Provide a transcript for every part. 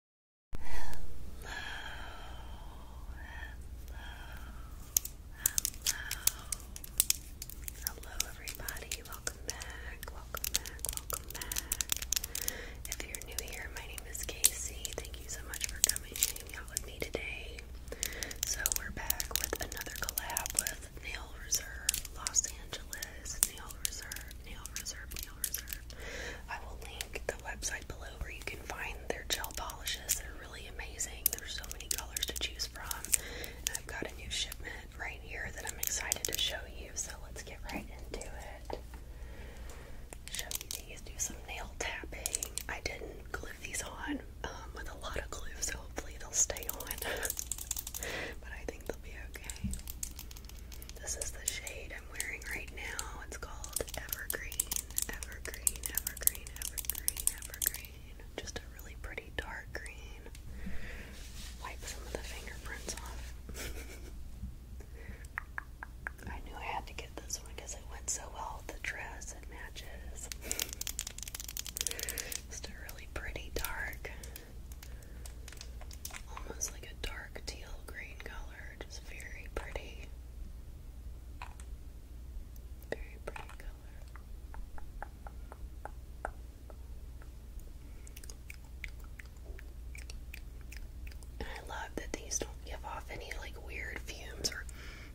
hello, hello everybody. Welcome back, welcome back, welcome back. If you're new here, my name is Casey. Thank you so much for coming out with me today. So we're back with another collab with Nail Reserve Los Angeles. Nail Reserve, Nail Reserve, Nail Reserve. I will link the website below where you can find their gel polishes. They're really amazing. There's so many colors to choose from. I've got a new shipment right here that I'm excited to show you. So let's get right into it. Show you these. Do some nail tapping. I didn't glue these on um, with a lot of glue, so hopefully they'll stay on. but I think they'll be okay. This is the shade I'm wearing right now. It's called Evergreen, Evergreen, Evergreen, Evergreen, Evergreen. Just a really pretty dark green. Wipe some of the fingerprints off. I knew I had to get this one because it went so well with the dress. It matches. Just a really pretty dark, almost like a dark teal green color just very pretty. Very pretty color. And I love that these don't give off any like weird fumes or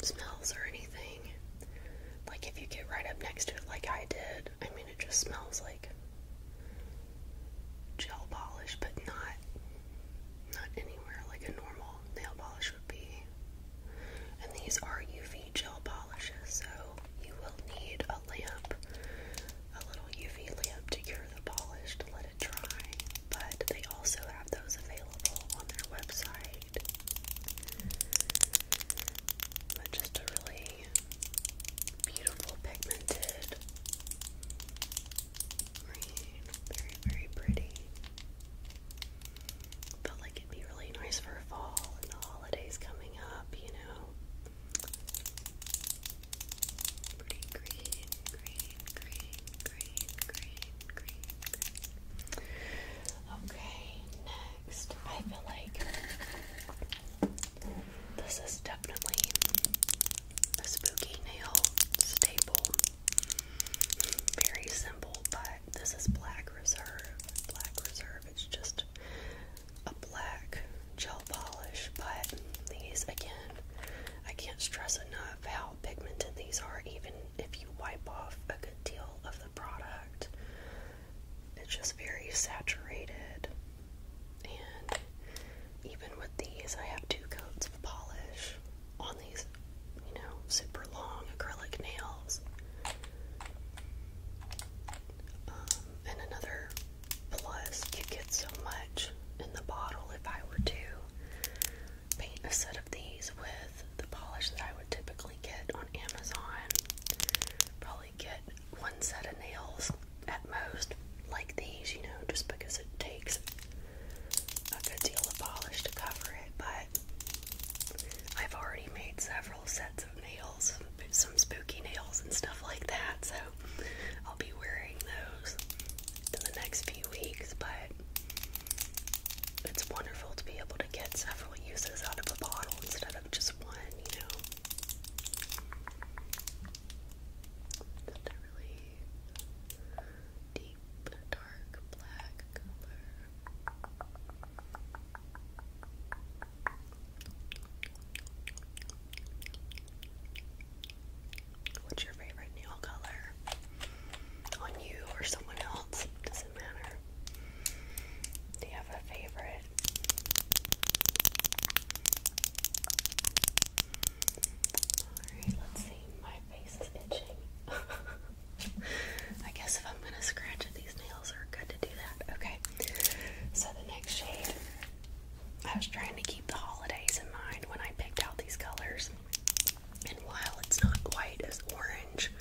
smells or anything. Like if you get right up next to it like I did, I mean it just smells like gel polish, but not not anywhere like a normal nail polish would be. And these are UV gel polishes, so you will need a lamp, a little UV lamp to cure the polish to let it dry. But they also have those available on their website. just a really beautiful pigmented green. Very, very pretty. Felt like it'd be really nice for fall and the holidays coming up, you know. Pretty green, green, green, green, green, green. Okay, next. I feel like this is definitely a spooky nail staple. Very simple, but this is Black Reserve. Black Reserve, it's just a black gel polish, but these again, I can't stress enough how pigmented these are, even if you wipe off a good deal of the product. It's just very saturated. And even with these, I have two coats of polish on these, you know, super long acrylic nails. Um, and another plus, you get so much in the bottle if I were to paint a set of these with the polish that I would typically get on Amazon. Probably get one set of nails at most like these, you know, just because it takes a good deal of polish to cover it, but I've already made several sets of nails, some spooky nails and stuff like that, so I'll be wearing those in the next few weeks, but it's wonderful to be able to get several uses out of a bottle instead of just one, you know a really deep, dark black color. What's your favorite nail color? On you or someone else? Doesn't matter. Do you have a favorite? Alright, let's see. My face is itching. I guess if I'm gonna scratch it, these nails are good to do that. Okay, so the next shade, I was trying to keep the holidays in mind when I picked out these colors. And while it's not quite as orange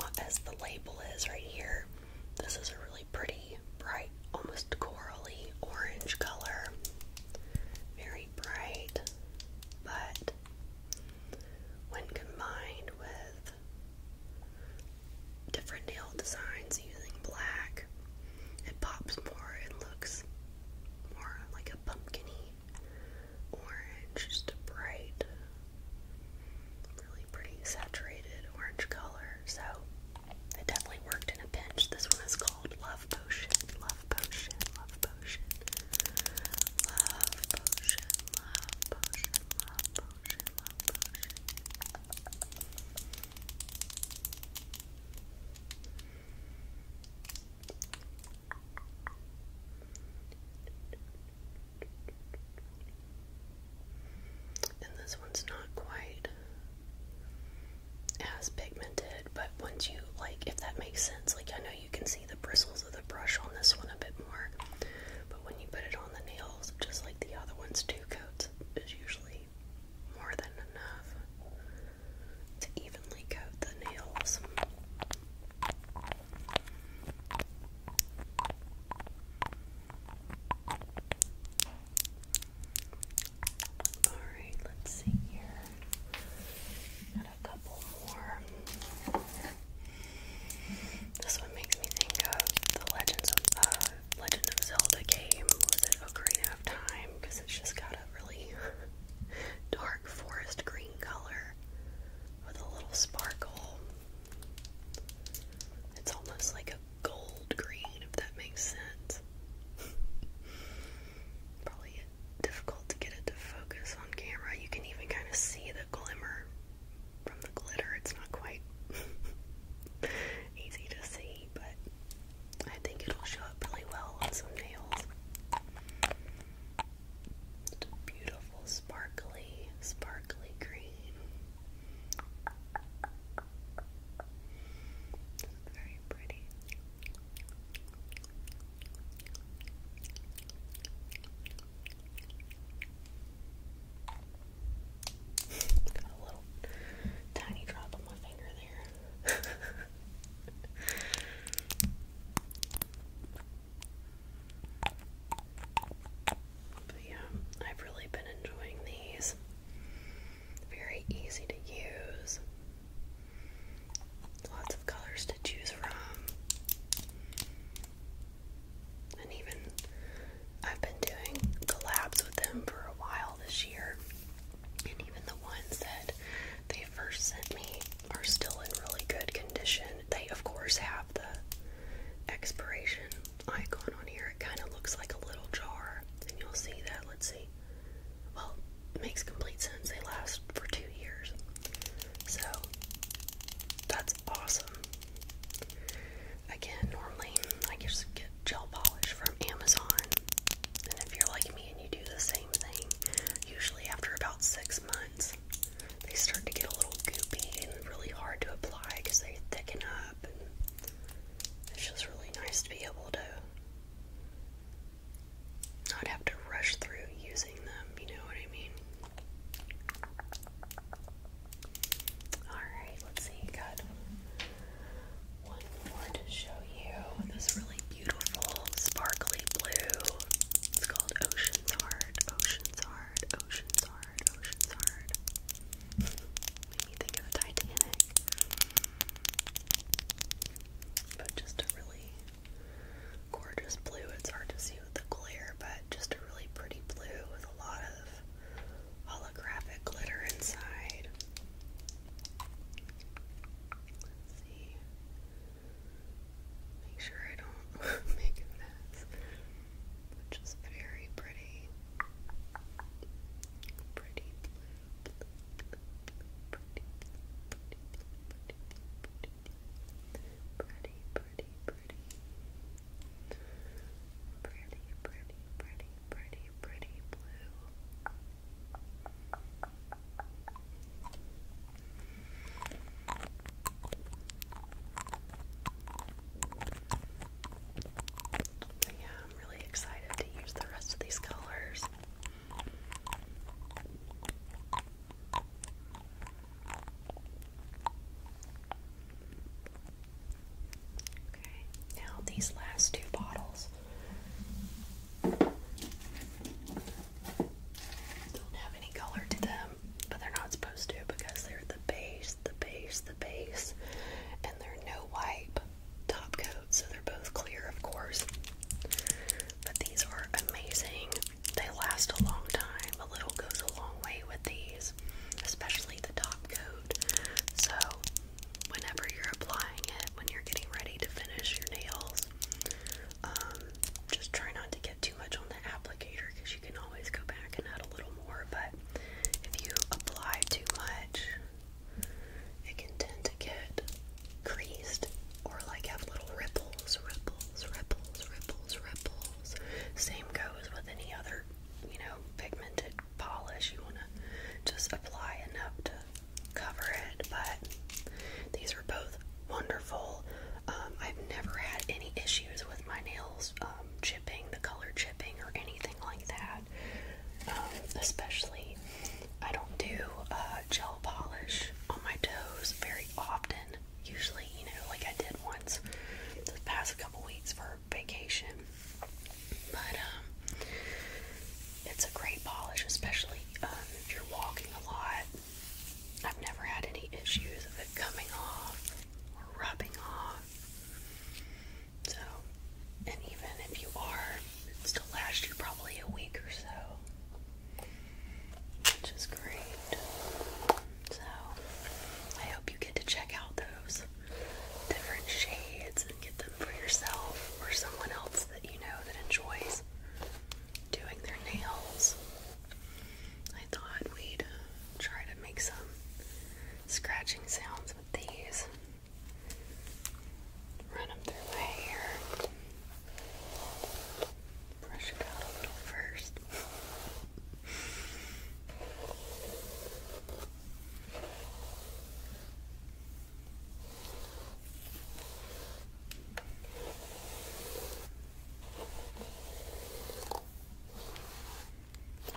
uh, as the label is right here, this is a really pretty, bright, almost corally orange color. Very bright, but when combined with different nail designs using black, it pops more and looks more like a pumpkiny orange, just bright, really pretty saturated orange color. So it definitely worked in a pinch. This one is called Love Potion. Love Potion. Love Potion. Love Potion. Love Potion. Love Potion. Love Potion. And this one's not quite as pigmented, but once you like, if that makes sense, like I know you can see the bristles of the brush on this one a bit more, but when you put it on the nails, just like the other ones, two coats is usually more than enough to evenly coat the nails. Alright, let's see here. Got a couple more. This one makes me think of the uh, Legend of Zelda game. Was it Ocarina of Time? Because it's just got a really dark forest green color with a little sparkle. It's almost like a gold green, if that makes sense. Probably difficult to get it to focus on camera. You can even kind of see the glimmer from the glitter. It's not quite easy to see, but I think it'll show up really well on some nails. beautiful, sparkly, sparkly green very pretty. Got a little tiny drop on my finger there. but yeah, I've really been enjoying these very easy to use. Lots of colors to choose from. And even I've been doing collabs with them for a while this year. And even the ones that they first sent me are still in really good condition. They, of course, have the expiration icon on here. It kind of looks like a little jar, and you'll see that. Let's see. Well, it makes complete sense. They last for two years. So, that's awesome. Again, normally I just get gel polish from Amazon. And if you're like me and you do the same thing, usually after about six months, they start to get a little goopy and really hard to apply because they thicken up. And it's just really nice to be able to not have to rush through using them, you know what I mean? Alright, let's see. Got one more to show you. This really beautiful, sparkly blue. It's called Ocean's Heart. Ocean's Heart. Ocean's Heart. Ocean's Heart. Made me think of Titanic. But just a really gorgeous blue. It's hard to see with the glare, but just a really pretty blue with a lot of holographic glitter inside. see. Make sure I don't make a mess. Which is very pretty. Pretty blue, blue, blue, pretty pretty pretty, pretty, pretty, pretty, pretty, pretty, pretty blue. Yeah, I'm really excited to use the rest of these colors. Okay, now these last two bottles don't have any color to them, but they're not supposed to because they're the base, the base, the base, and they're no wipe top coats, so they're both clear, of course. But these are amazing. They last a long time. A little goes a long way with these, especially the top coat. So, whenever you're applying it, when you're getting ready to finish your nails, um, just try not to get too much on the applicator because you can always go back and add a little more. But if you apply too much, it can tend to get creased or like have little ripples, ripples, ripples, ripples, ripples. Same goes with any other, you know, pigmented polish. You want to just apply enough to cover it, but these are both wonderful. Um, I've never had any issues with my nails um, chipping, the color chipping, or anything like that. Um, especially, I don't do uh, gel polish on my toes very often. Usually, you know, like I did once the past couple weeks for vacation. But um, it's a great polish, especially um, if you're walking a lot. I've never had any issues of it coming off or rubbing off. So, and even if you are, it still lasts you probably a week or so, which is great. So, I hope you get to check out those different shades and get them for yourself or someone else that you know that enjoys doing their nails. I thought we'd uh, try to make some scratching sounds these. Run them through my hair. Brush out a little first.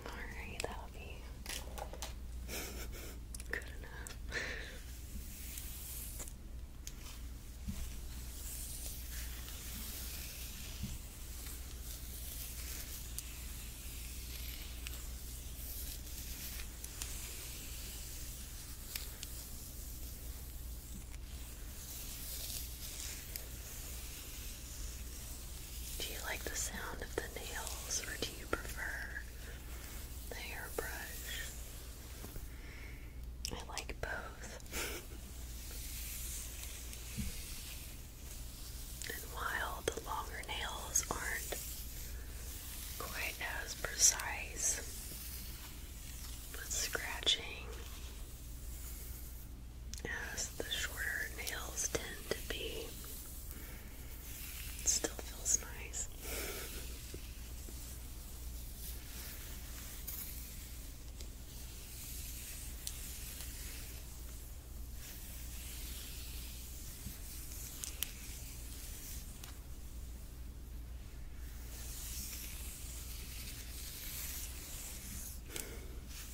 Alright, that'll be good enough. Do you like the sound of the nails or do you prefer the hairbrush? I like both. and while the longer nails aren't quite as precise but scratching as the shorter nails tend to be, it still feels nice.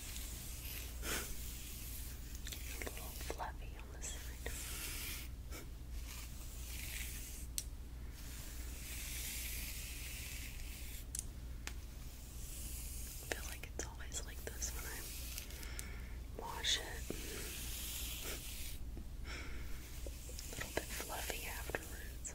A little fluffy on the side. feel like it's always like this when I wash it. A little bit fluffy afterwards.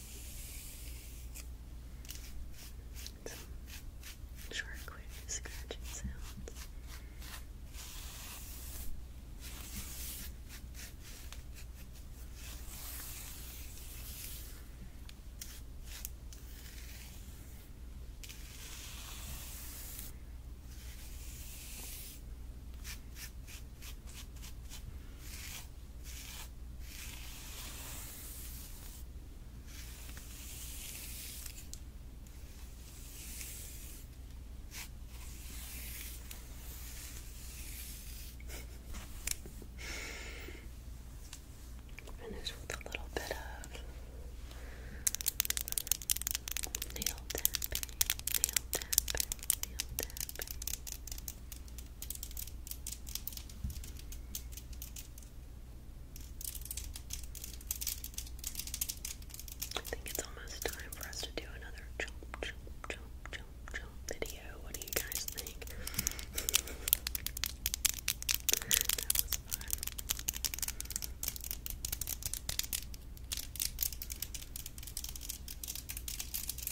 Some short, quick scratching sounds. Just Finish with a little bit of nail tapping, nail tapping, nail tapping. I think it's almost time for us to do another jump, jump, jump, jump, jump video. What do you guys think?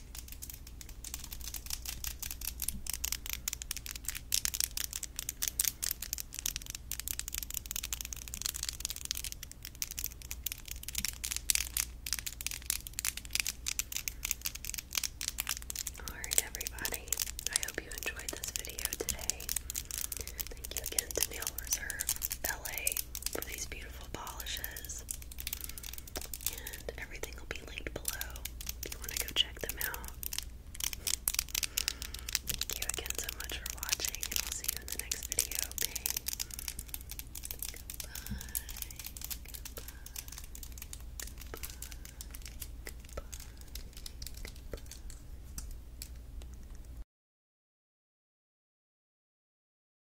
Alright, everybody, I hope you enjoyed this video today. Thank you again to Nail Reserve LA for these beautiful polishes and everything will be linked below if you want to go check them out. Thank you again so much for watching, and I'll see you in the next video, okay? Goodbye.